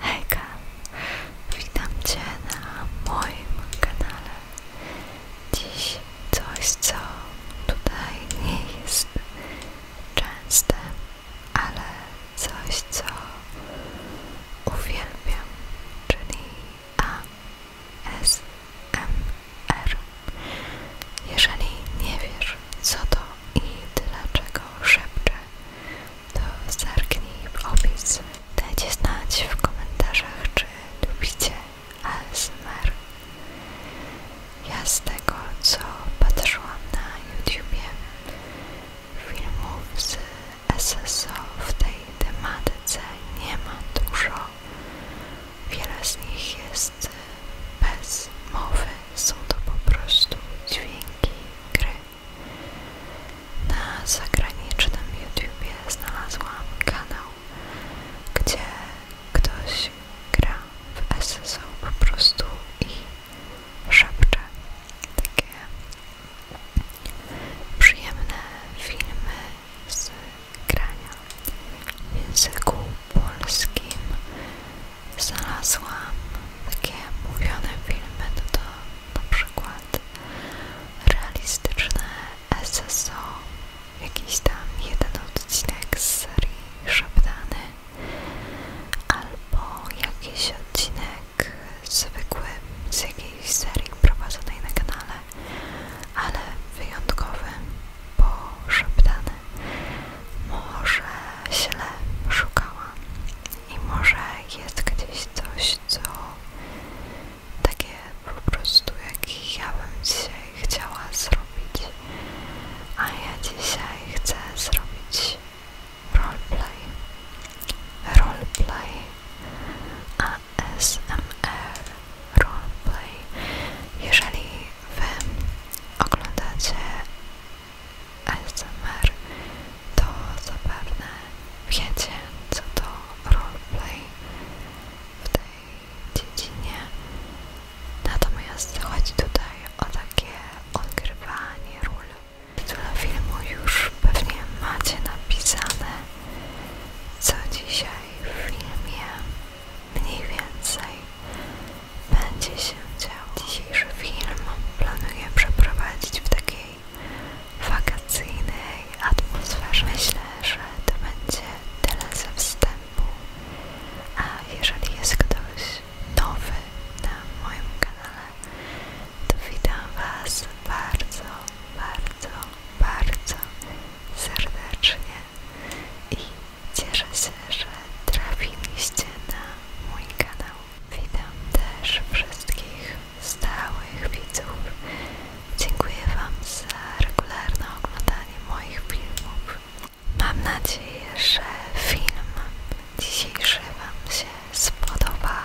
Hejka, witam Cię na moim kanale. Dziś coś, co tutaj nie jest częste, ale coś, co uwielbiam, czyli ASMR. Jeżeli nie wiesz, co to i dlaczego szepczę, to zerknij w opis. Dajcie znać w komentarzach, czy lubicie ASMR. Ja z tego, co patrzyłam na YouTube, filmów z SSO w tej tematyce nie ma dużo. Wiele z nich jest bez mowy, są to po prostu dźwięki gry. Na zagranicznym YouTube znalazłam kanał, gdzie ktoś gra w SSO po prostu i szepcze takie przyjemne filmy z grania w języku polskim. Znalazłam takie mówione filmy, no to na przykład lat, realistyczne SSO, jakiś tam jeden odcinek z serii Szeptany, albo jakiś odcinek zwykły z jakiejś serii prowadzonej na kanale, ale wyjątkowy, bo Szeptany może źle szukałam i może jest gdzieś coś co takie po prostu jak ja bym dzisiaj chciała zrobić, a ja dzisiaj chcę zrobić roleplay, roleplay ASMR, roleplay. Jeżeli Wy oglądacie ASMR to zapewne wiecie, co to roleplay w tej dziedzinie. Natomiast chodzi tutaj o takie odgrywanie ról. Do filmu już pewnie macie napisane, co dzisiaj w filmie mniej więcej będzie się działo. Dzisiejszy film planuję przeprowadzić w takiej wakacyjnej atmosferze. Myślę, że to będzie tyle ze wstępu. A jeżeli jest ktoś nowy na moim kanale, to witam Was bardzo, bardzo, bardzo serdecznie i cieszę się, że trafiliście na mój kanał. Witam też wszystkich stałych widzów. Dziękuję Wam za regularne oglądanie moich filmów. Mam nadzieję, że film dzisiejszy Wam się spodoba.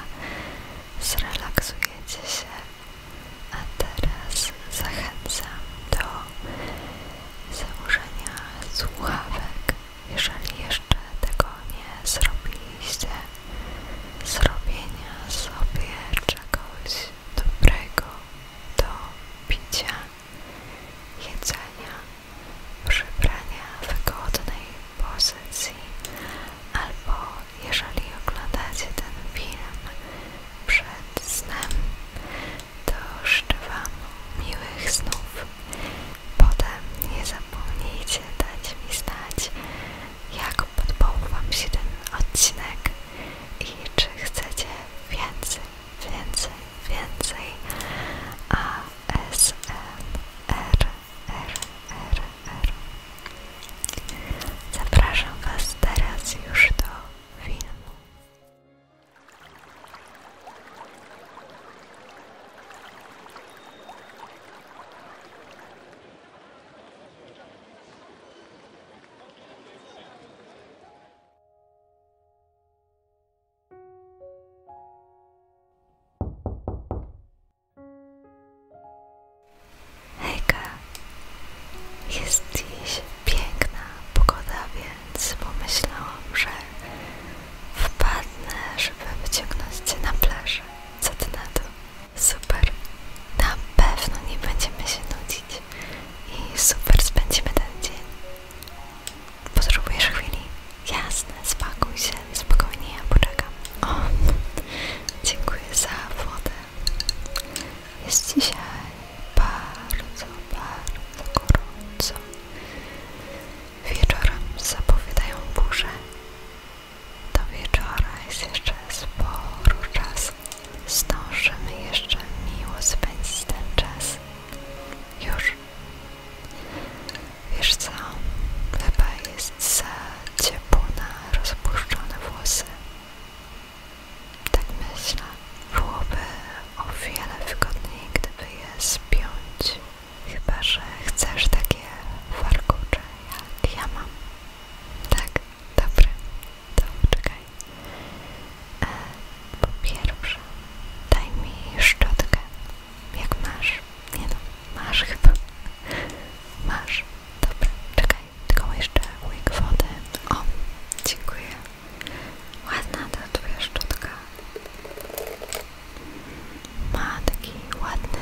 Zrelaksujecie się. A teraz zachęcam do założenia słuchawek, jeżeli jeszcze tego nie zrobiliście zrobienia sobie czegoś dobrego do picia, jedzenia, przybrania wygodnej pozycji albo jeżeli oglądacie ten film przed snem, to życzę Wam miłych snów. Potem nie zapomnijcie dać mi znać, jak podobał Wam się ten odcinek i czy chcecie więcej, więcej, więcej ASMR. Zapraszam Was teraz już do filmu. Hejka, jest dziś piękna pogoda, więc pomyślałam, że wpadnę, żeby wyciągnąć Cię na plażę. Co Ty na to? Super. Na pewno nie będziemy się nudzić. I super spędzimy ten dzień. Potrzebujesz chwili? Jasne, spakuj się. Spokojnie, ja poczekam. O, dziękuję za wodę. Jest dzisiaj bardzo, bardzo gorąco. Wieczorem zapowiadają burze. Do wieczora jest jeszcze sporo czasu. Zdążymy jeszcze miło spędzić ten czas. Już. Wiesz co? Chyba jest za ciepło na rozpuszczone włosy. Tak myślę. Byłoby o wiele wygodniej, gdyby je spiąć. Chyba, że chcesz takie warkucze, jak ja mam. Tak, dobra. To czekaj. E, po pierwsze, daj mi szczotkę. Jak masz? Nie no, masz chyba. Masz. Dobra, czekaj. Tylko jeszcze łyk wody. O, dziękuję. Ładna ta twoja szczotka. Ma taki ładny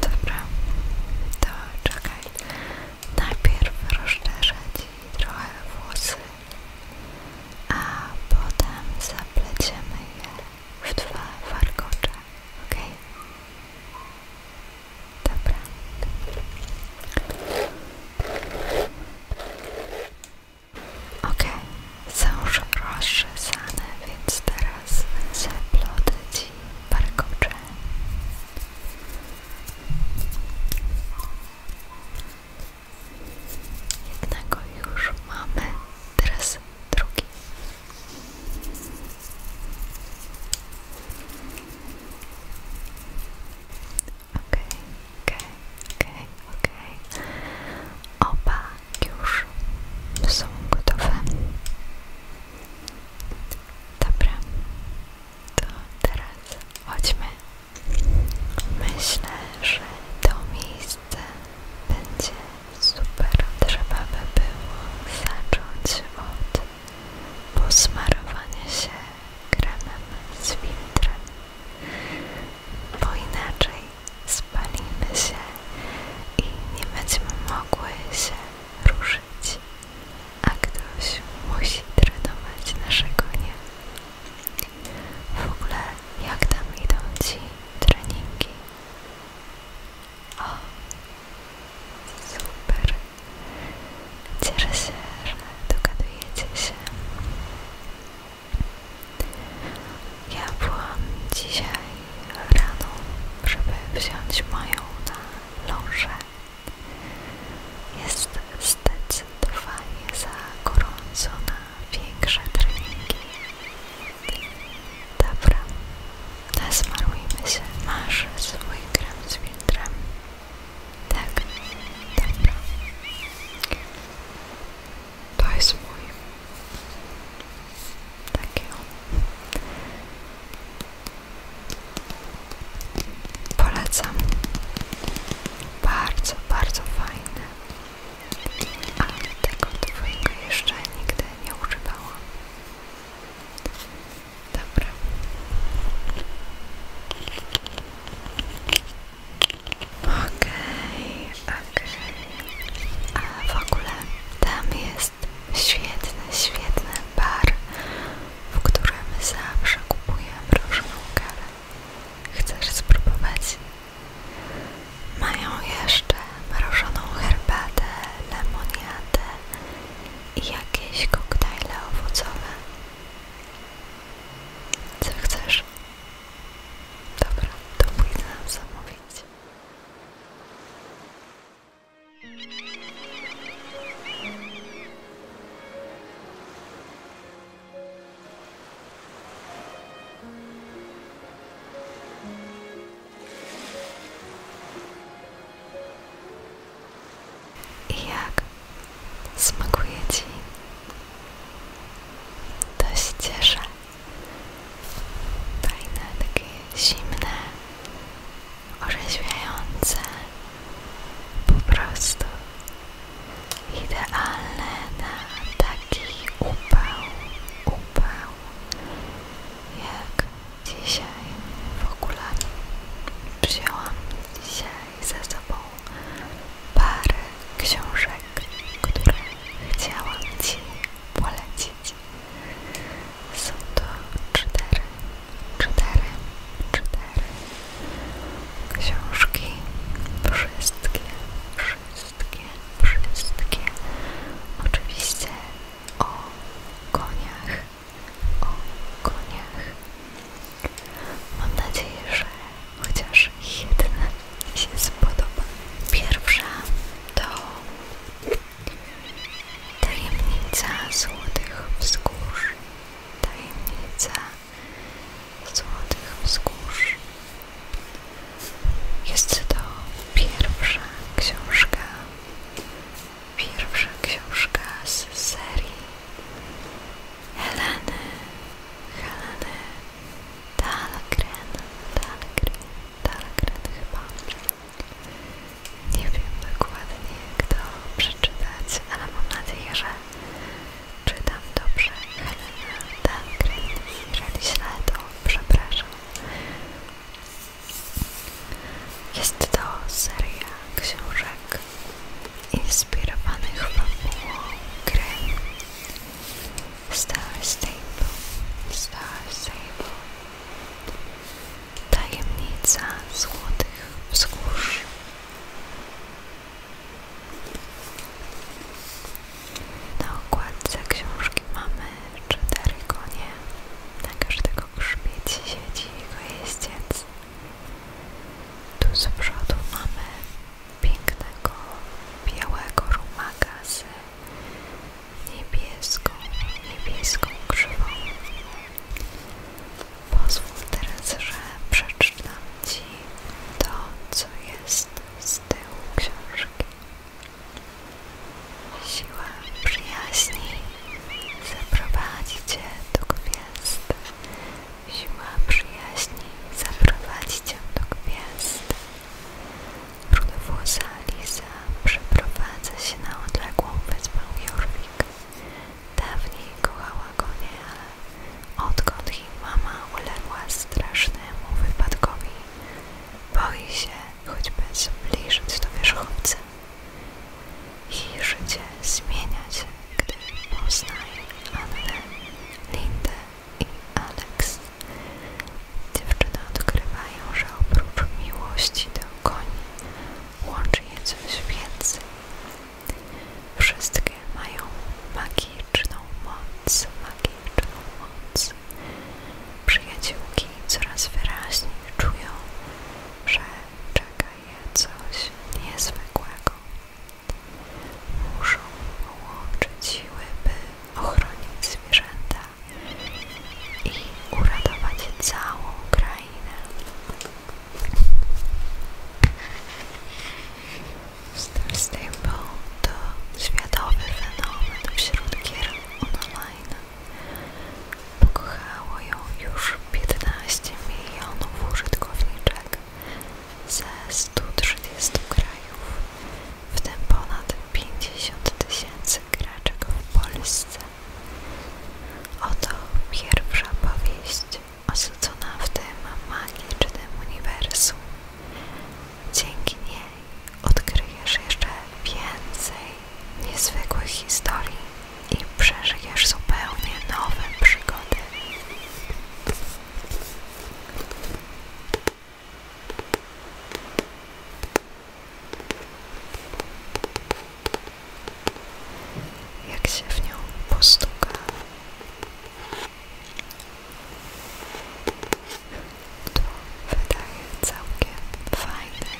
Dobra, to czekaj. Najpierw rozszerzę Ci trochę włosy, a potem zapleciemy je w dwa warkocze, ok? Dobra. Ok, są już rozczesane, więc teraz zaplotę Ci warkocze jednego już mamy teraz drugi okej, okay, okej, okay, okej, okay, okej okay. oba już są gotowe Dobra, to teraz chodźmy. Myślę, że to miejsce będzie super. Trzeba by było zacząć od posmarowania się kremem z filtrem, bo inaczej spalimy się i nie będziemy mogły się ruszyć marzyć, a ktoś musi trenować naszego nie. W ogóle jak tam idą ci treningi? O, super. Cieszę się, że dogadujecie się. Ja byłam dzisiaj rano, żeby wziąć moją na loże. Jest zdecydowanie za gorąco na większe treningi. Dobra, nasmarujmy się. Masz swój krem z filtrem? Tak, dobra. To jest mój. Taki on. Polecam. Bardzo, bardzo fajne. Ale tego twojego jeszcze nigdy nie używałam. Dobra. Ok, okay, okej. A w ogóle tam jest świetne, świetne bar, w którym zawsze kupujemy mrożoną kawę. Chcesz spróbować? Mają jeszcze mrożoną herbatę, lemoniadę i jakieś koktajle owocowe. Co chcesz? Dobra, to pójdę zamówić. I jak smakuje Ci? To się cieszę. Fajne, takie zimne, orzeźwiające, po prostu idealne na taki upał, upał jak dzisiaj w ogóle wzięłam dzisiaj ze sobą parę książek, które chciałam Ci polecić są to cztery, cztery, cztery książki. Wszystkie, wszystkie, wszystkie. Oczywiście o koniach, o koniach. Mam nadzieję, że chociaż jedna się spodoba. Pierwsza to Tajemnica złotych wzgórz. Tajemnica złotych wzgórz. Jest to pierwsza książka. Pierwsza książka z serii Heleny. Heleny Dahlgren. Dahlgren. Dahlgren chyba. Nie wiem dokładnie, jak to przeczytać, ale mam nadzieję, że czytam dobrze. Helena Dankren, jeżeli źle, to przepraszam. Jest to seria książek inspirowanych fabułą gry Star Stable. Star Stable. Tajemnica złotych wzgórz. Na okładce książki mamy cztery konie. Na każdego grzbiecie siedzi jego jeździec. Tu z przodu mamy pięknego białego rumaka z niebieską, niebieską krzywą. Pozwól teraz, że przeczytam Ci to, co jest z tyłu książki. Siła przyjaźni zaprowadzi Cię do gwiazd. Siła przyjaźni zaprowadzi Cię do gwiazd. Brudowłosa Liza Eliza przeprowadza się na odległą wyspę Jorvik. Dawniej kochała go nie, ale odkąd jej mama uległa strasznemu wypadkowi, boi się choćby zbliżyć do wierzchowcy. Jej życie zmienia się, gdy poznaje Annę, Lindę i Alex. Dziewczyny odkrywają, że oprócz miłości do koni łączy je coś więcej. Wszystkie mają magiczną moc, magiczną moc. Przyjaciółki coraz wyraźniej czują, że czeka je coś niezwykłego. Muszą połączyć siły, by ochronić zwierzęta i uratować całą krainę fajne. Star Stable to światowy fenomen wśród gier online. Pokochało ją już 15 milionów użytkowniczek ze 130 krajów, w tym ponad 50 tysięcy graczek w Polsce. Oto pierwsza powieść osadzona w tym magicznym uniwersum. Dzięki niej odkryjesz jeszcze więcej niezwykłych historii i przeżyjesz zupełnie nowe przygody jak się w nią postuka, to wydaje całkiem fajny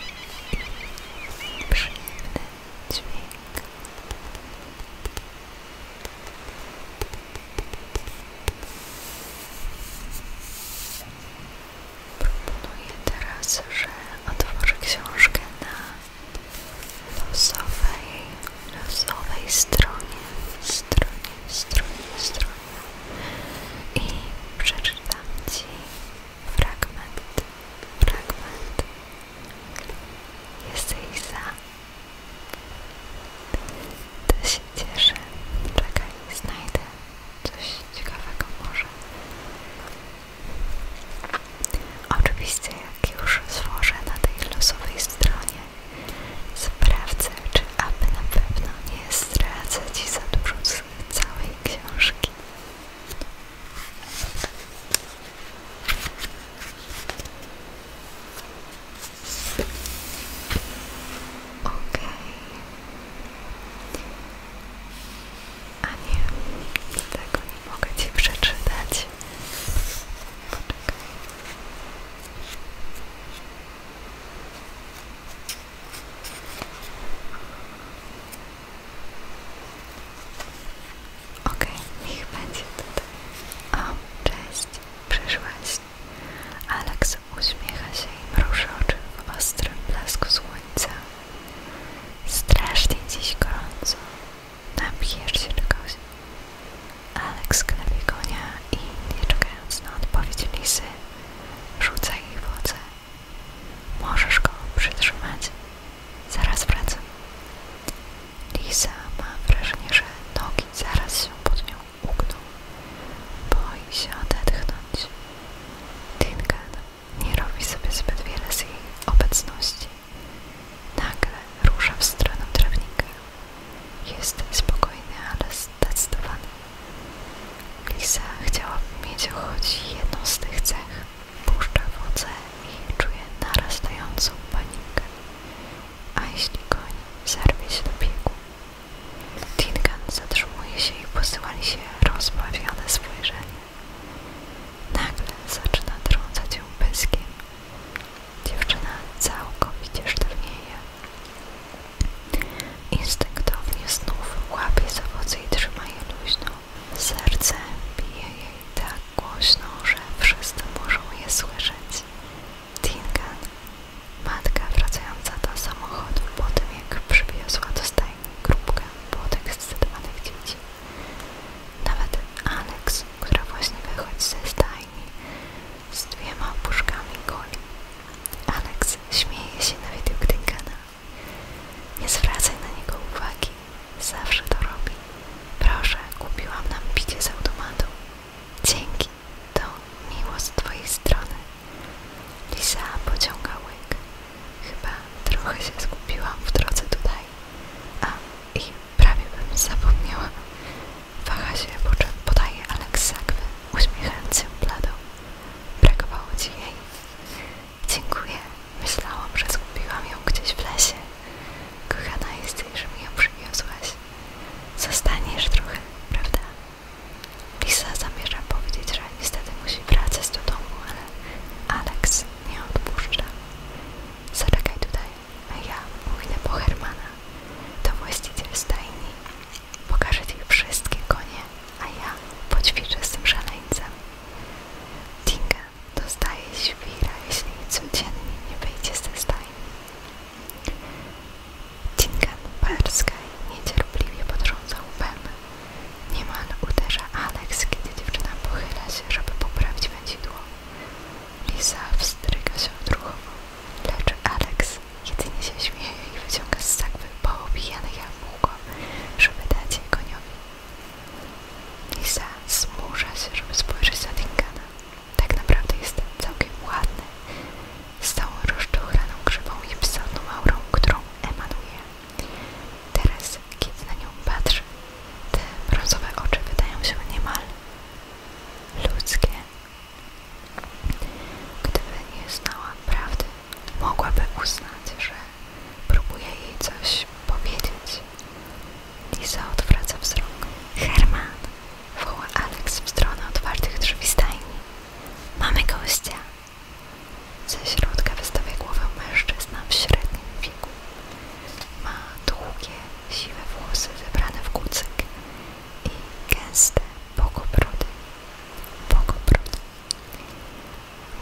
i przyjemny dźwięk. Proponuję teraz, że otworzę książkę na losowej, losowej stronie, stronie, stronie, stronie i przeczytam Ci fragment, fragment Jesteś za? To się cieszę. Czekaj, znajdę coś ciekawego może. Oczywiście jak już złożę na tej losowej stronie sprawdzę, czy aby na pewno nie stracę Ci za dużo całej książki. Okej. A nie, tego nie mogę Ci przeczytać. OK, niech będzie tutaj. O, cześć, przyszłaś. Aleks uśmiecha się i mruży oczy w ostrym blasku słońca. Strasznie dziś gorąco. Na piersi kogoś. Alex klepi konia i nie czekając na odpowiedź lisy, rzuca jej wodę. Możesz go przytrzymać. Zaraz wracam. Lisa ma wrażenie, że nogi zaraz się pod nią ugną. Boi się odetchnąć. Tinka nie robi sobie zbyt wiele z jej obecności. Nagle rusza w stronę trawnika. Jest spokojny, ale zdecydowany. Lisa chciała mieć choć jedną z tych cech. Puszcza wodę i czuje narastającą panikę. A jeśli koń zerwie się do biegu? Tinkan zatrzymuje się i posyłali się rozbawione spojrzenie. Nagle zaczyna trącać ją pyskiem. Dziewczyna całkowicie sztywnieje. Instynktownie znów łapie za owoce i trzyma je luźno. Serce bije jej tak głośno, że wszyscy muszą je słyszeć. Tingan, matka wracająca do samochodu po tym jak przywiozła do stajni grupkę podekscytowanych dzieci, nawet Alex, która właśnie wychodzi ze stajni z dwiema puszkami goli. Alex śmieje się na widok Dinkana. Nie zwracaj na niego uwagi. Zawsze to robi. Proszę, kupiłam nam picie z automatu. Dzięki. To miło z twojej strony. Lisa pociąga łyk. Chyba trochę się skupiłam w drodze tutaj. A i prawie bym zapomniała. Waha się podaje Aleksakwy, uśmiechając się bladą. Brakowało ci jej. Dziękuję. Myślałam, że skupiłam ją gdzieś w lesie. Kochana jesteś, że mi ją przywiozłaś. Zostaniesz trochę, prawda? Lisa zamierza powiedzieć, że że niestety musi wracać do domu, ale Alex nie odpuszcza. Zaczekaj tutaj, a ja pójdę po Hermana. To właściciel stajni. Pokażę ci wszystkie konie, a ja poćwiczę z tym szaleńcem. Tinga dostaje świra, jeśli codziennie nie wyjdzie ze stajni. Tingan Perskaj niecierpliwie potrząsał Bem, Niemal uderza Alex, kiedy dziewczyna pochyla się, żeby poprawić wędzidło. Lisa wstryka się odruchowo, lecz Alex jedynie się śmieje i wyciąga z sakwy poobijane jabłko, żeby dać je koniowi. Lisa zmusza się, żeby spojrzeć na Dingana. Tak naprawdę jest całkiem ładny, z całą rozczochraną grzywą i psaną aurą, którą emanuje. Teraz, kiedy na nią patrzę, te brązowe oczy wydają się niemal ludzkie. Gdyby nie znała prawdy, mogłaby uznać, że próbuje jej coś powiedzieć. Lisa odwraca wzrok. Herman! woła Alex w stronę otwartych drzwi stajni. Mamy gościa! Ze środka wystawia głowę mężczyzna w średnim wieku. Ma długie, siwe włosy zebrane w kucyk i gęste bogobrody. Bogobrody.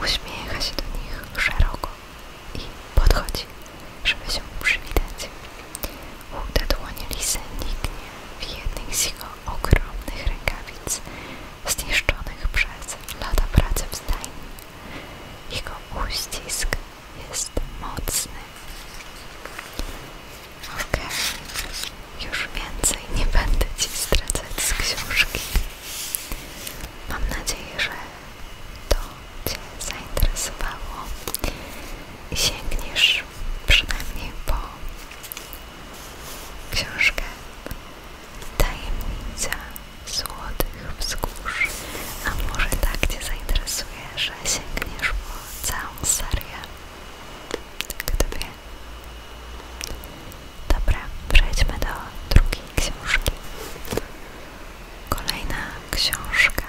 Uśmiecha się do nich szeroko i podchodzi, żeby się przywitać. Chude dłonie Lisy niknie w jednej z jego ogromnych rękawic, zniszczonych przez lata pracy w stajni. Jego uścisk jest mocny. Okej, już więcej nie będę Ci stracać z książki. Mam nadzieję, że to Cię zainteresowało i sięgniesz przynajmniej po książkę Tajemnica Złotych Wzgórz. A może tak Cię zainteresuje, że sięgniesz po całą serię? Kto wie? Dobra, przejdźmy do drugiej książki. Kolejna książka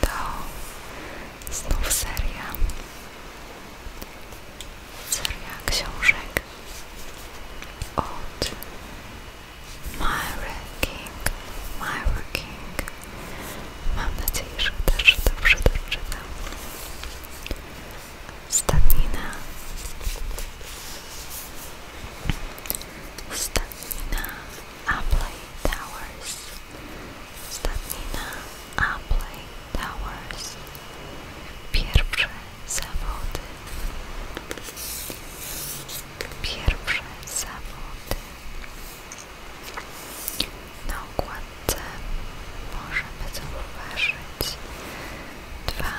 to znów seria. Seria książek od My King, Myra King. Mam nadzieję, że też dobrze doczytam. Stadnina. Stadnina Apley Towers. Stadnina Apley Towers. Pierwsze zawody pierwsze zawody na okładce możemy zauważyć dwa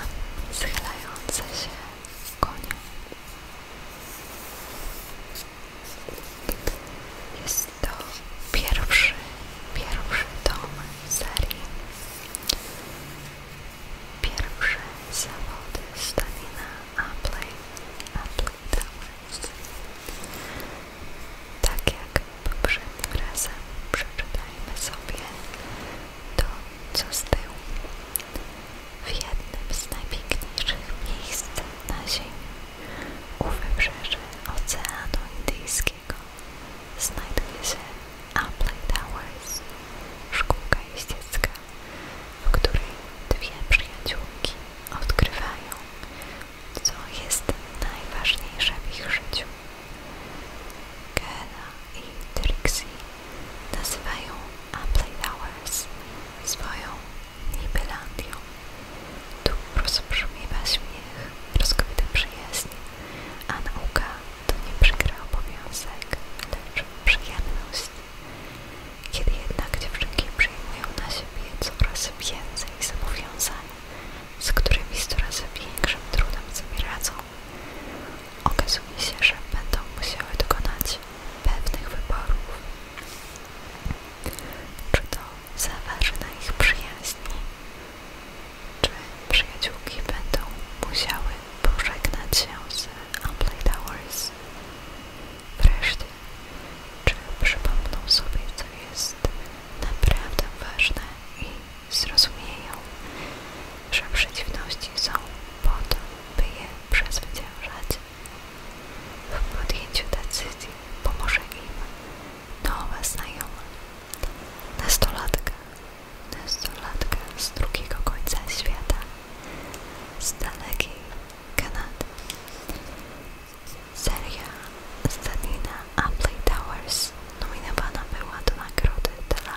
schylające się konie jest to pierwszy, pierwszy tom serii Pierwsze zawody stanie na Apple, Apple Towers. Tak jak poprzednim razem przeczytajmy sobie to, co z tyłu. W jednym z najpiękniejszych miejsc na Ziemi u wybrzeży Oceanu Indyjskiego znajduje się Apple Towers, szkółka jeździecka, w której dwie przyjaciółki odkrywają, co jest najważniejsze w ich życiu. Kena i Trixie nazywają Apple Towers swoją Nibelandią. Tu rozbrzmiewa ich, rozkwita przyjaźń, a nauka to nie przykry obowiązek, lecz przyjemność. Kiedy jednak dziewczynki przyjmują na siebie coraz więcej zobowiązań, z którymi z coraz większym trudem sobie radzą, okazuje się, że będą musiały dokonać pewnych wyborów. Czy to zaważy na ich przyjaźni? Czy przyjaciółki będą musiały pożegnać się z Amplay Towers. Wreszcie, czy przypomną sobie, co jest naprawdę ważne i zrozumieją, że przeciwności są po to, by je przezwyciężać. W podjęciu decyzji pomoże im nowa znajoma, nastolatka, nastolatkę z drugiego końca świata, z Daleki Kanady. Seria Stanina Appley Towers nominowana była do nagrody dla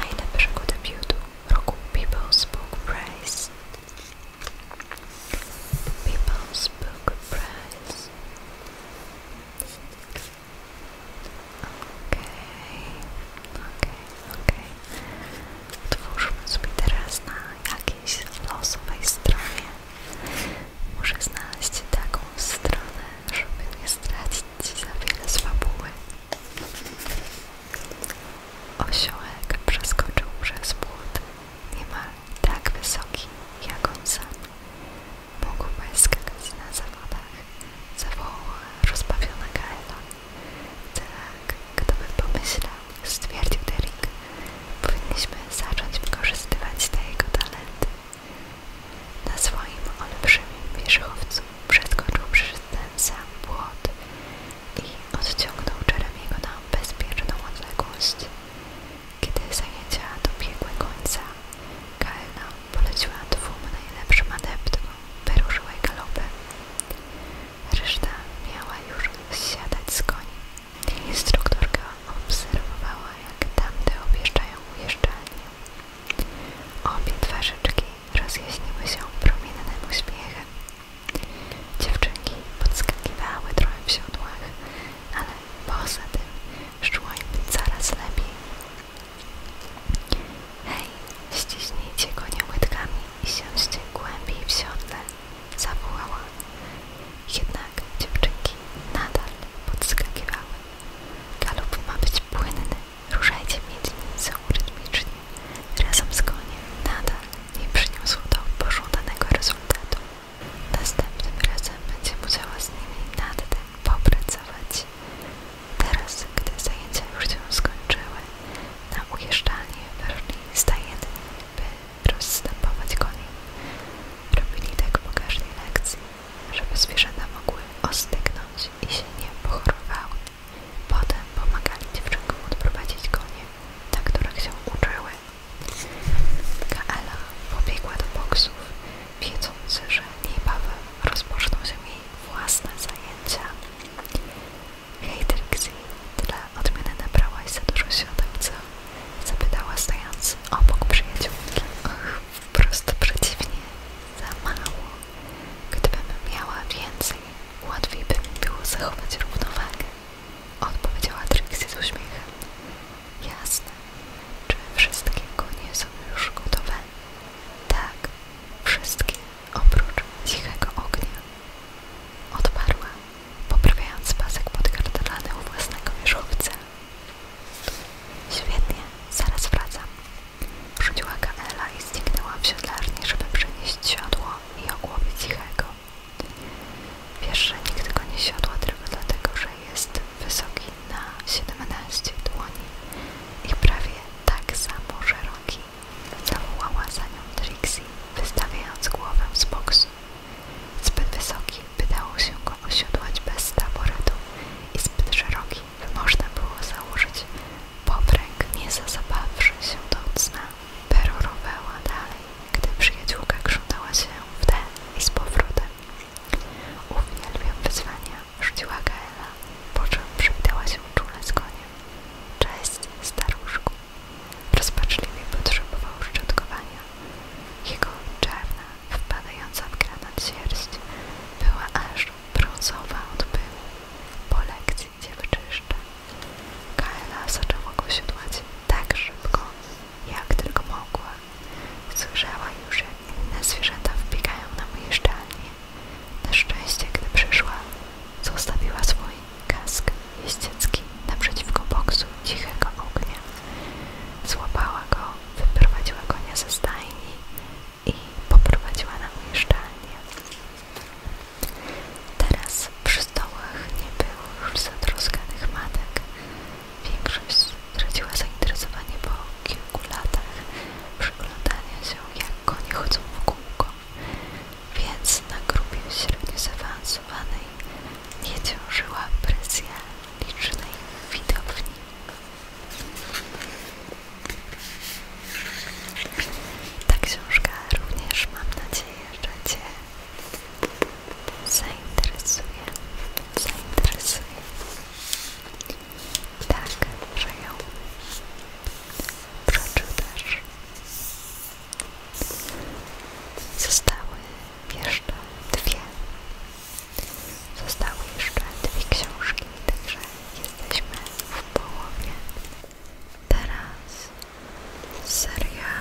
najlepszego debiutu roku People's Book Prize. People's Book Prize okej, okej. Otwórzmy sobie teraz na jakiejś losowej stronie. Muszę znaleźć taką stronę, żeby nie stracić za wiele z fabuły. Osiołek przeskoczył przez płot, niemal tak wysoki jak on sam. Mógł skakać na zawodach, zawołała rozbawiona Gaela. Tak, kto by pomyślał, stwierdził Derek, powinniśmy zacząć wykorzystywać te jego talenty. Na swoim olbrzymim wierzchowcu przeskoczył przez ten sam płot i odciągnął Jeremiego na bezpieczną odległość. Kiedy zajęcia dobiegły końca, Kalna poleciła dwóm najlepszym adeptom wyruszyła galopem. Reszta miała już zsiadać z koni. Instruktorka obserwowała, jak tamte objeżdżają ujeżdżalnię. Obie twarzyczki rozjaśniły się promiennym uśmiechem. Dziewczynki podskakiwały trochę w siodłach, ale poza tym szło im coraz lepiej. Hej, ściśnijcie go nie i siądźcie głębiej w siodle, zawołała. Jednak dziewczynki nadal podskakiwały. Galop ma być płynny, ruszajcie miednicą rytmicznie. Razem z koniem nadal nie przyniósł to pożądanego rezultatu. Następnym razem będzie musiała z nimi nad tym popracować. Teraz, gdy zajęcia już się skończyły, na ujeżdżalnię weszli stajenni, by rozstępować koni. Robili tak po każdej lekcji, żeby zwierzęta mogły ostygnąć i się nie pochorowały. Potem pomagali dziewczynkom odprowadzić konie, na których się uczyły. Kaela pobiegła do boksów, wiedząc, że niebawem rozpoczną się jej własne zajęcia. Hej Trixie, tyle odmiany nabrałaś za dużo siodeł, co? Zapytała stojąc obok przyjaciółki. Och, wprost przeciwnie, za mało. Gdybym miała więcej, łatwiej by mi było zachować równowagę. Odpowiedziała Trixie z uśmiechem. Jasne. Czy wszystkiego nie są już gotowe? Tak, wszystkie oprócz cichego ognia. Odparła, poprawiając pasek podkartolany u własnego wierzchowca. Świetnie, zaraz wracam. Rzuciła Kaela i zniknęła w siodlarni, żeby przenieść siodło i ogłowie cichego. Wiesz, że nikt tego nie siodła tylko dlatego, że jest wysoki na 17 dłoni i prawie tak samo szeroki Zawołała za nią Trixie, wystawiając głowę z boksu. Zbyt wysoki, by dało się go osiodłać bez taboretu i zbyt szeroki, by można było założyć popręg, nie zazabawszy się do cna. Perorowała dalej, gdy przyjaciółka krzątała się w ten i z powrotem. Uwielbiam wyzwania, rzuciła Gaela, po czym przywitała się czule z konia. Cześć, staruszku. Rozpaczliwie potrzebował szczotkowania. Jego czarna, wpadająca w granat sierść była aż brązowa od pyłu. Po lekcji cię wyczyszczę. Kaela zaczęła go siodłać tak szybko, jak tylko mogła. Słyszała już, jak inne zwierzęta wbiegają na moje szczelnie na szczęście, gdy przyszła, zostawiła swój kask jeździecki naprzeciwko boksu cichego ognia. Złapała go, wyprowadziła konia ze stajni i poprowadziła na umieszczalnię. Teraz przy stołach nie było już zatroskanych matek. Większość straciła zainteresowanie po kilku latach przyglądania się, jak konie chodzą w kółko więc na grupie średnio zaawansowanej nie ciążyła presja licznej widowni. Ta książka również mam nadzieję, że Cię zainteresuje. Zainteresuje. Tak, że ją przeczytasz. Zostały jeszcze dwie. Zostały jeszcze dwie książki, także jesteśmy w połowie. Teraz seria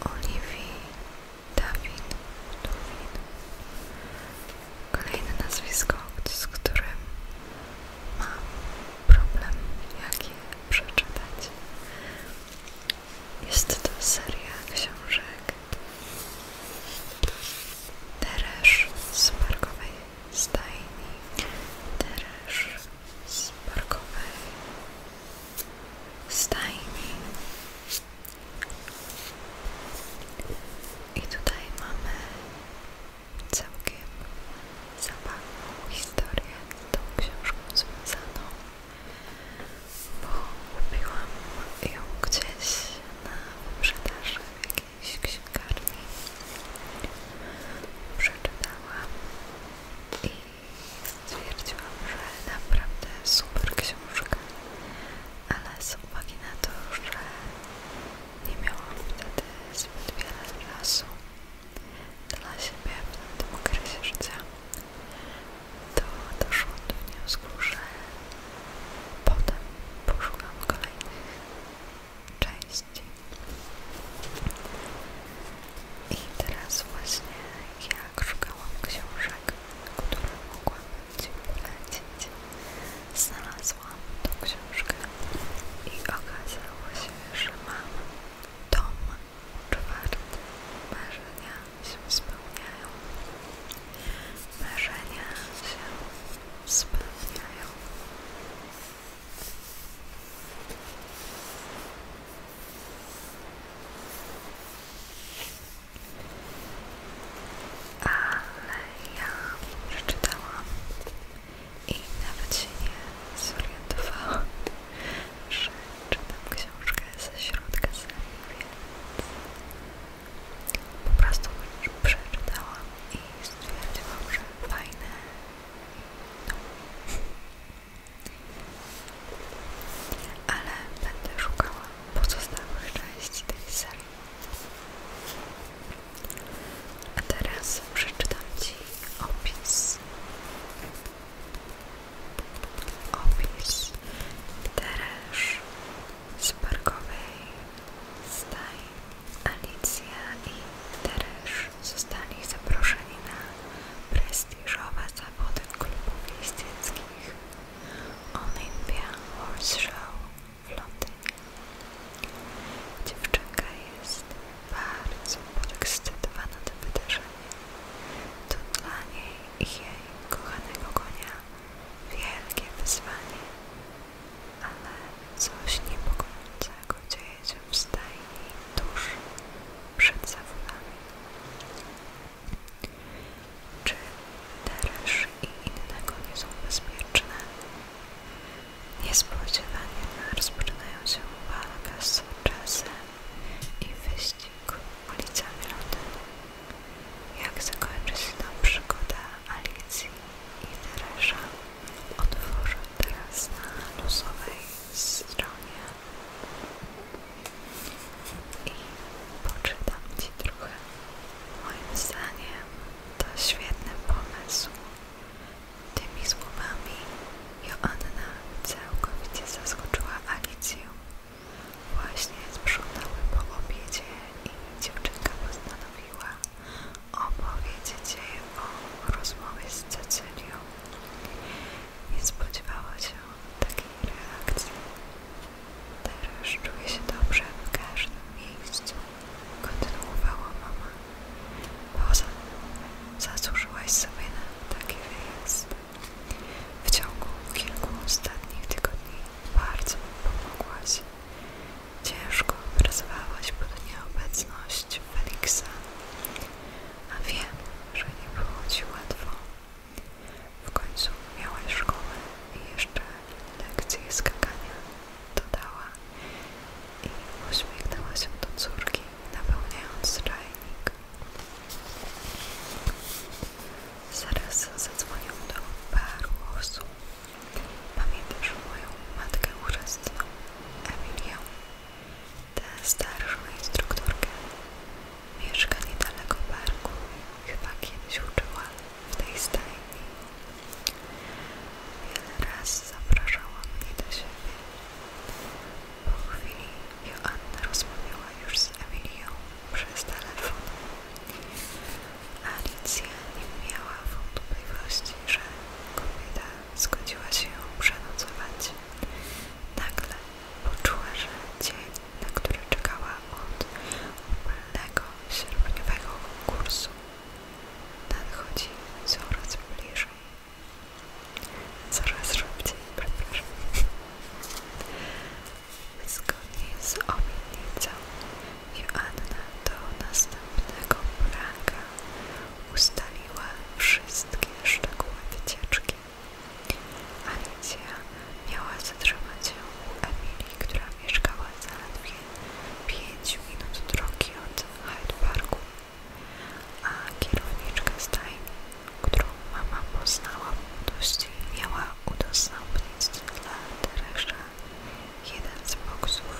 Oliwii Dawid. Dawid. Kolejne nazwisko, z którym mam problem, jak je przeczytać. Jest to seria książek Teresz z parkowej stajni, Teresz z parkowej stajni. I tutaj mamy całkiem zabawną historię z tą książką związaną, bo kupiłam ją gdzieś na wyprzedaży w jakiejś księgarni. Przeczytałam i stwierdziłam, że naprawdę super książka, ale z uwagi na to, że nie miałam wtedy zbyt wiele czasu dla siebie w tym okresie życia. To doszło do wniosku, że potem poszukam kolejnych części. I teraz właśnie jak szukałam książek, które mogłabym Ci polecić, znalazłam znalazłam i okazało się, że mam dom czwarty. Marzenia się spełniają. Marzenia się spełniają. Ale ja przeczytałam i nawet się nie zorientowałam, że czytam książkę ze środka serii. po prostu przeczytałam i stwierdziłam, że fajne no. Ale będę szukała pozostałych części tej serii. A teraz przeczytam Ci opis. Opis Teresz z parkowej Alicja i Teresz zostali zaproszeni na prestiżowe zawody klubów jeździeckich Olympia Horse Show w Londynie. Dziewczynka jest bardzo podekscytowana tym wydarzeniem. To dla niej i jej kochanego konia wielkie wyzwanie, ale coś niepokojącego dzieje się w stajni tuż przed zawodami. Czy Deresz i innego nie są bezpieczne? Niespodziewanie rozpoczynają się walka z czasem i wyścig ulicami Londynu. Jak zakończy się ta przygoda Alicji i Teresza, otworzę teraz na losowej stronie i poczytam Ci trochę. Moim zdaniem to świetny pomysł, Tymi słowami Joanna całkowicie zaskoczyła Alicję. Właśnie sprzątały po obiedzie i dziewczynka postanowiła opowiedzieć jej o rozmowie z Cecylią. Nie spodziewała się takiej reakcji. Teraz czuję się dobrze w każdym miejscu, kontynuowała mama. Poza zasłużyłaś sobie na taki wyjazd. W ciągu kilku ostatnich tygodni bardzo pomogłaś. Ciężko pracowałaś pod nieobecność Feliksa, a wiem, że nie było ci łatwo. W końcu miałaś szkołę i jeszcze lekcje skakania dodała i uśmiechnęła się do córki, napełniając czajnik. Zaraz zadzwonił do Barłosu. Pamiętasz moją matkę chrzestną, Emilię, tę starszą instruktorkę. Mieszka niedaleko parku, chyba kiedyś uczyła w tej stajni. Wiele raz zapraszała mnie do siebie. Po chwili Joanna rozmawiała już z Emilią przez telefon. Alicja nie miała wątpliwości, że kobieta zgodziła się ją przenocować. Nagle poczuła, że dzień, na który czekała od upalnego sierpniowego kursu, nadchodzi coraz bliżej. Coraz szybciej, przepraszam. Zgodnie z obietnicą Joanna do następnego poranka ustaliła wszystkie szczegóły wycieczki. Alicja miała zatrzymać się u Emilii, która mieszkała zaledwie 5 minut drogi od Hyde Parku a kierowniczka stajni, którą mama poznała w młodości, miała udostępnić dla Teresza jeden z boksów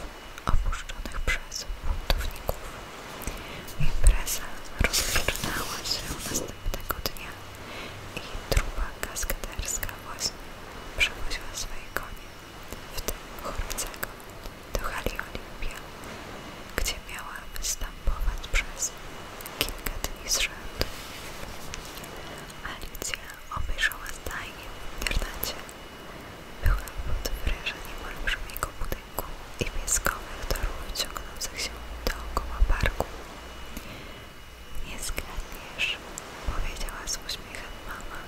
opuszczonych przez buntowników. Impreza rozpoczynała się następnego dnia i trupa kaskaderska właśnie przewoziła swoje konie w tym chłopcu do hali Olimpia, gdzie miała występować przez kilka dni z rzędu. Alicja obejrzała zdanie w internecie. Była pod wrażeniem olbrzymiego budynku i pieskowych torów ciągnących się dookoła parku. Nie zgadniesz, powiedziała z uśmiechem mama,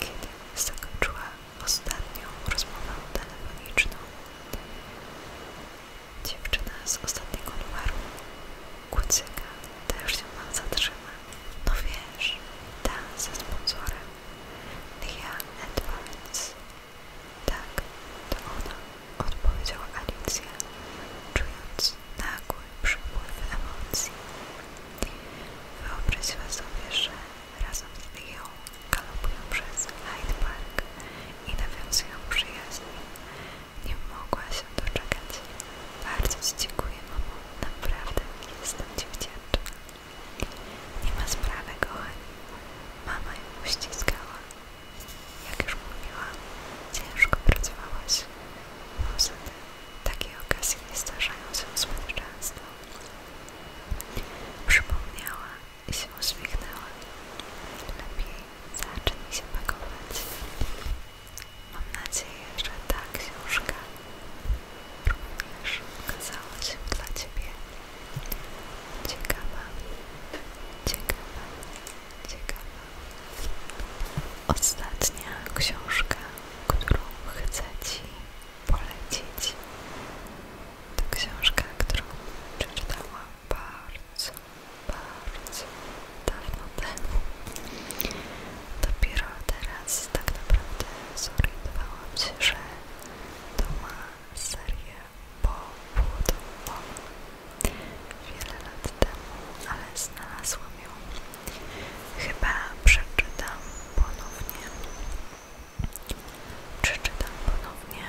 kiedy zakończyła ostatnią rozmowę telefoniczną. Dziewczyna z ostatniego numeru kucyka też się nam zatrzymać. No wiesz, ta ze sponsorem. ja, Edwards. Tak, to ona, odpowiedziała Alicja, czując nagły przypływ emocji. Wyobraź sobie, że Razem z Leo galopują przez Hyde Park i nawiązują przyjaźń. Nie mogła się doczekać. Bardzo Ci dziękuję, mamo. Naprawdę jestem Ci wdzięczna. Nie ma sprawy, kochani. Mama ją uściskała. Jak już mówiłam, ciężko pracowałaś. Poza tym, takie okazje nie zdarzają się słuchać. często. Przypomniała i się uśmiechnęła. Lepiej zacznij się pakować. Mam nadzieję, że ta książka również okazała się dla Ciebie ciekawa, ciekawa, ciekawa. Ostatnia książka, którą chcę Ci polecić to książka, którą przeczytałam bardzo, bardzo dawno temu. Dopiero teraz tak naprawdę zorientowałam się, że to ma serię pobudową. Wiele lat temu, ale znalazłam ją. Chyba przeczytam ponownie przeczytam ponownie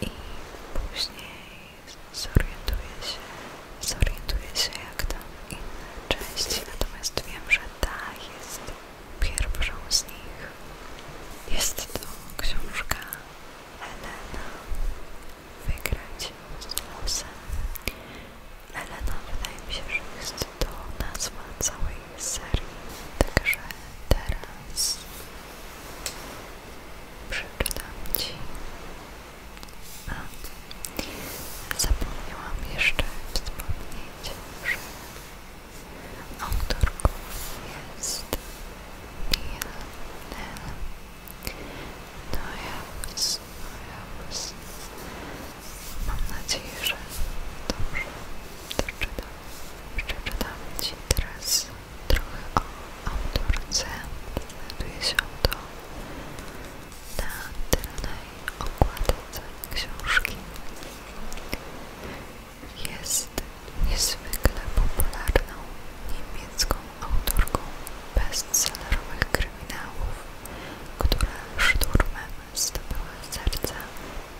i później zorientuję się, zorientuję się jak tam inne części, natomiast wiem, że ta jest pierwszą z nich. Jest to książka Elena Wygrać z losem. Elena wydaje mi się, że jest to nazwa całej serii. Także teraz przeczytam Ci. A, zapomniałam jeszcze wspomnieć, że autorką jest Mia Nell. No ja, no Mam nadzieję, że dobrze doczytam. Przeczytam Ci teraz trochę o autorce. Znajduje się to na tylnej okładce książki. Jest niezwykle popularną niemiecką autorką bestsellerowych kryminałów, która szturmem zdobyła serca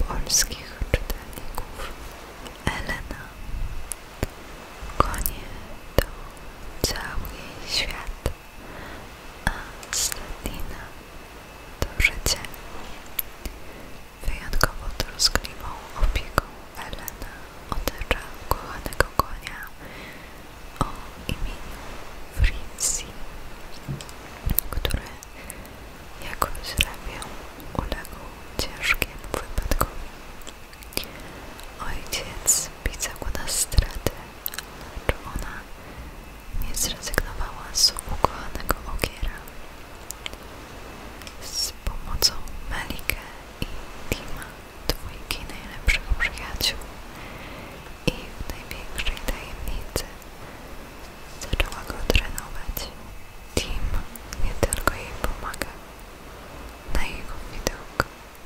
polskich czytelników. Elena konie to cały jej świat, a Sledina to życie. Wyjątkowo troskliwą opieką Elena otacza kochanego konia o imieniu Fritzi, który jakoś ramię uległ ciężkiemu wypadkowi. Ojciec pisał na stratę, lecz ona nie zrezygnowała z ukochanego ogiera. Z pomocą Melike i Tima, dwójki najlepszych przyjaciół i w największej tajemnicy Zaczęła go trenować. Tim nie tylko jej pomaga. Na jego widok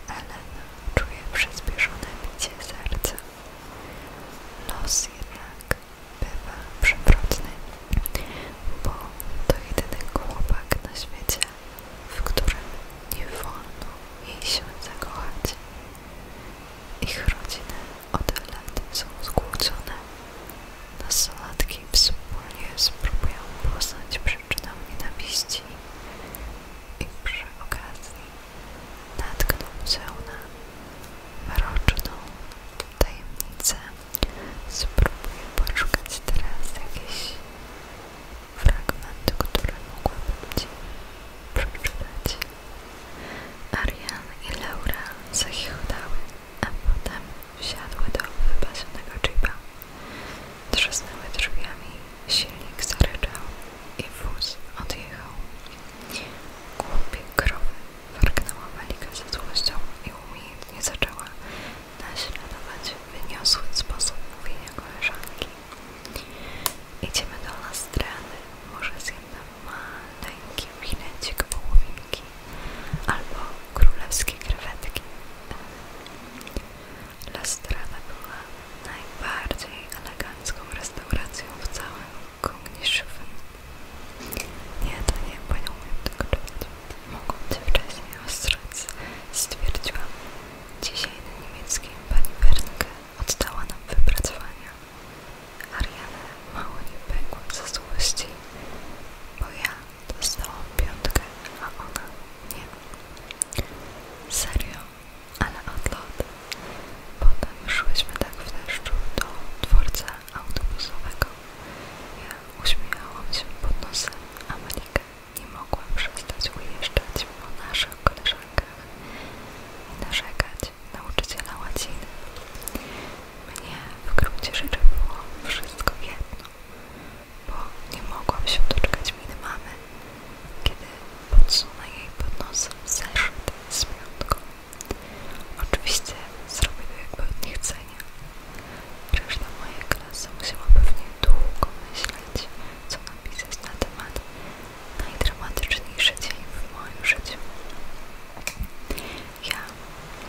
Ellen czuje przyspieszone bicie serca. Los jednak bywa przewrotny, bo to jedyny chłopak na świecie, w którym nie wolno jej się zakochać. Ich rodziny od lat są skłócone. Nastolatki wspólnie spróbują poznać przyczynę nienawiści i przy okazji natkną się mroczną tajemnicę. Spróbuję poszukać teraz jakieś fragment, które mogłabym Ci przeczytać. Arian i Laura zachichotały, a potem wsiadły do wypasionego jeepa. Trzasnęły drzwiami, silnik zaryczał i wóz odjechał. Głupie krowy warknęła Malika ze złością i umiejętnie zaczęła naśladować wyniosły sposób mówienia koleżanki. Idziemy do Lastrany, może zjem na ma tęgi winecik albo królewskie krewetki. La była najbardziej elegancką restauracją w całym Kogniszywym. Nie, to nie, bo nie umiem tego czytać. Mogą cię wcześniej ostrzec, stwierdziłam. Dzisiaj na niemieckim pani Wernke oddała nam wypracowania. Ariana mało nie pękłam ze złości, bo ja dostałam piątkę, a ona nie. Serio, ale odlot. Potem szłyśmy tak w deszczu do dworca autobusowego. Ja uśmiechałam się pod nosem, a Malika nie mogła przestać ujeżdżać po naszych koleżankach i narzekać, nauczyciela łaciny. Mnie w gruncie rzeczy było wszystko jedno, bo nie mogłam się doczekać miny mamy, kiedy podsunę jej pod nos zeszyt z piątką. Oczywiście zrobię to jakby od niechcenia. Reszta mojej klasy musiała pewnie długo myśleć, co napisać na temat najdramatyczniejszy dzień w moim życiu. Ja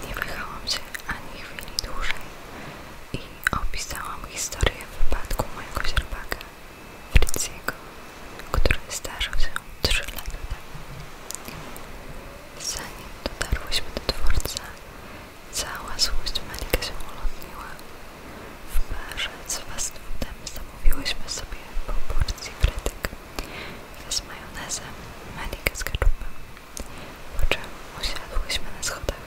nie wahałam się ani chwili dłużej i opisałam historię wypadku mojego źrebaka Friziego, który zdarzył się 3 lata temu. Zanim dotarłyśmy do dworca, cała złość Malika się ulotniła. W barze z fast foodem zamówiłyśmy sobie po porcji frytek z majonezem, melikę z ketchupem, po czym usiadłyśmy na schodach.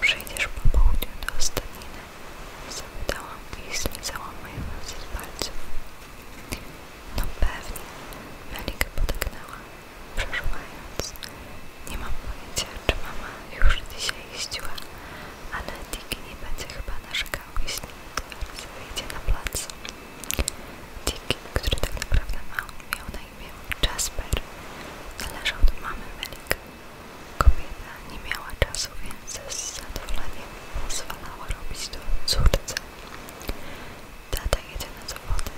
Przyjdziesz po południu do ostatniny, zapytałam i zlizałam majonez z palców. No pewnie, melikę podegnęła, przeżuwając. Nie mam pojęcia, czy mama już dzisiaj jeździła, ale Diki nie będzie chyba narzekał, jeśli teraz wyjdzie na plac. Dick, który tak naprawdę ma, miał na imię Jasper, należał do mamy Melik. Kobieta nie miała czasu, więc z zadowoleniem pozwalała robić to córce. Tata jedzie na zawody.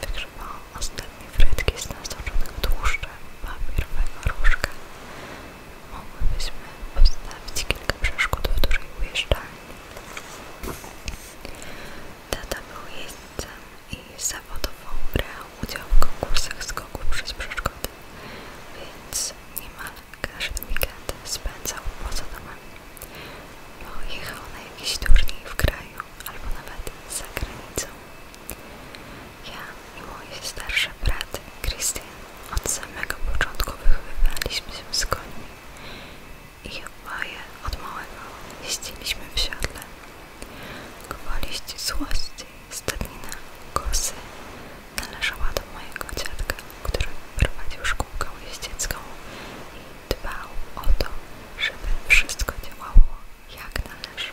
Wygrzebał ostatnie frytki z nasoczonych tłuszczem papierowego różka. Mogłybyśmy postawić kilka przeszkód w dużej ujeżdżalni, Tata był jeźdźcem i zawodowo brał udział w konkursach skoków przez przeszkody, więc niemal każdy weekend spędzał poza domem, bo jechał na jakiś turniej w kraju albo nawet za granicą. Ja i moje starsze brat Krystian od samego początku wychowywaliśmy się z końmi i chyba je od małego jeździliśmy w siodle. Gwoli ścisłości, stadnina, kosy należała do mojego dziadka, który prowadził szkółkę jeździecką i dbał o to, żeby wszystko działało jak należy.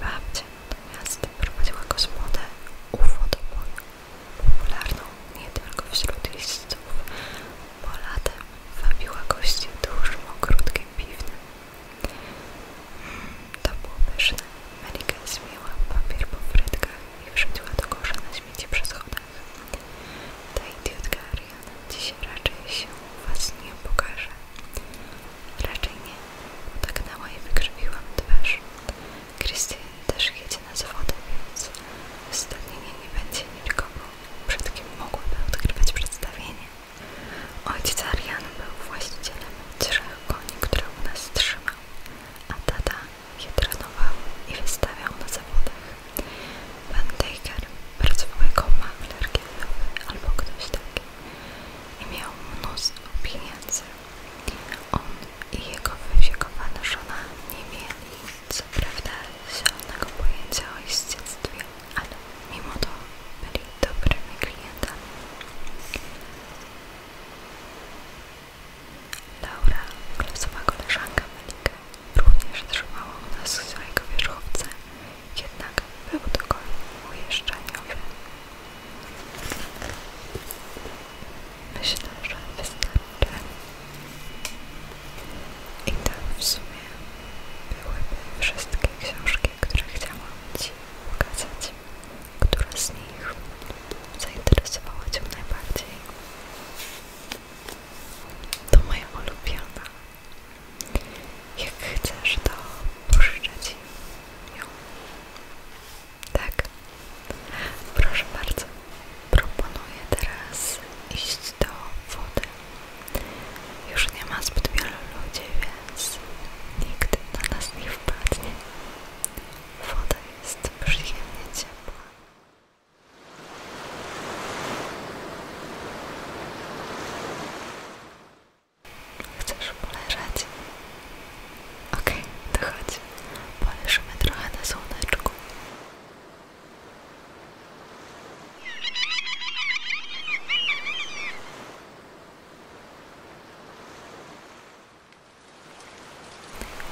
Babcia natomiast prowadziła gospodę UFO do boju popularną nie tylko wśród listów, bo latem wabiła gości dużym, krótkim piwnym. Hmm, to było pyszne. Melika zmiła papier po frytkach i wrzuciła do kosza na śmieci przy schodach. Ta idiotka Arian dzisiaj raczej się was nie pokaże. Raczej nie. Utaknęła i wykrzywiłam twarz. Krystian też jedzie na zawody, więc uzasadnienie nie będzie nikogo, przed kim mogłyby odkrywać przedstawienie. Ojciec Arian był właścicielem trzech koni, które u nas trzymał, a tata je trenował i wystawiał na zawodach. Van Deiker pracował jako makler giełdowy albo ktoś taki i miał mnóstwo pieniędzy. On i jego wyziekowana żona nie mieli nic co prawda zielonego pojęcia o jeździectwie, ale mimo to byli dobrymi klientami. Laura, klasowa koleżanka Melika, również trzymała u nas swojego wierzchowca, jednak był to koń ujeżdżaniowy. Myślę, że wystarczy. I tak w sumie byłyby wszystkie książki, które chciałam Ci pokazać. Która z nich zainteresowała Cię najbardziej? To moja ulubiona. Jak chcesz, to pożyczę Ci ją. Tak, Proszę bardzo, proponuję teraz iść do wody. Już nie ma zbyt wielu ludzi, więc nikt na nas nie wpadnie. Woda jest przyjemnie ciepła. Chcesz poleżeć? Okej, okay, to chodź. Poleżymy trochę na słoneczku.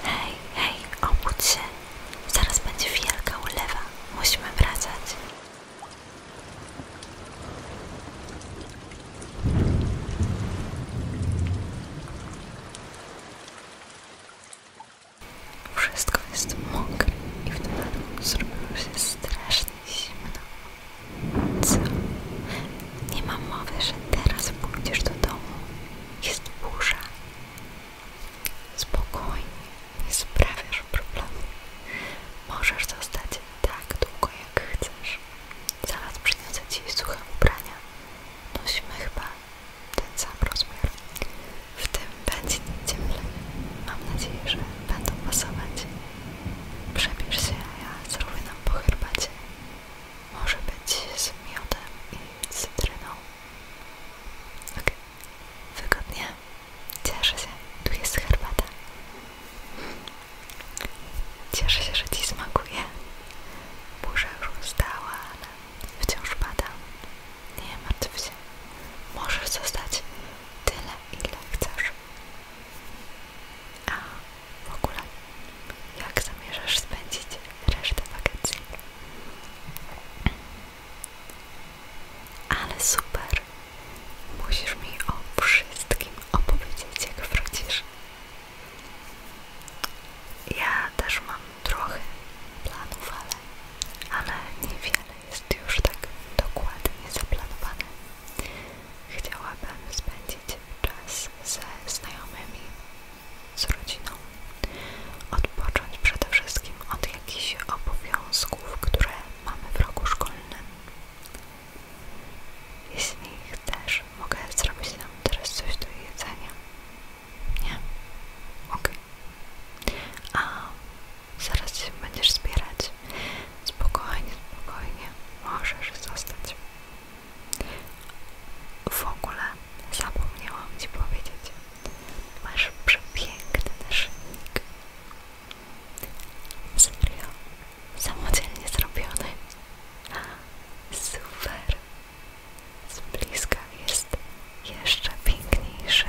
Hej, hej, obudź się. Zaraz będzie wielka ulewa. Musimy wracać. Wszystko jest mokre i w dodatku zrobiło się strasznie zimno. Co? Nie mam mowy, że teraz pójdziesz do domu. Jest burza. Spokojnie, nie sprawiasz problemu. Możesz zostać tak długo, jak chcesz. Zaraz przyniosę ci suche ubrania. Nosimy chyba ten sam rozmiar. W tym będzie cieplej. Mam nadzieję, że będą pasować. Przebierz się, a ja zrobię nam po herbacie. Może być z miodem i cytryną. Okej. Wygodnie. Cieszę się. Tu jest herbata. Cieszę się, że Ci smakuje. Burza już ustała, ale Wciąż pada. Nie martw się. Możesz zostać tyle, ile chcesz. A w ogóle, jak zamierzasz spędzić resztę wakacji? Ale super! Musisz mi o wszystkim opowiedzieć, jak wrócisz. Ja też mam trochę planów, ale, ale niewiele jest już tak dokładnie zaplanowane. Chciałabym spędzić czas ze znajomymi, z rodziną, odpocząć przede wszystkim od jakichś obowiązków, które mamy w roku szkolnym. Jeśli też mogę zrobić nam teraz coś do jedzenia. Nie? ok, A zaraz się będziesz zbierać. Spokojnie, spokojnie. Możesz zostać. W ogóle zapomniałam Ci powiedzieć. Masz przepiękny naszyjnik. Serio? Samodzielnie zrobiony. Super z bliska jest jeszcze piękniejszy.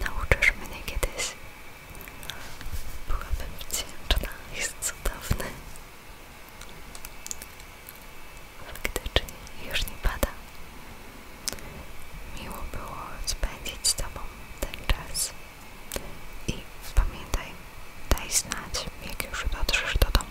Nauczysz mnie kiedyś. Byłabym wdzięczna, jest cudowny. Faktycznie już nie pada. Miło było spędzić z Tobą ten czas. I pamiętaj, daj znać, jak już dotrzesz do domu.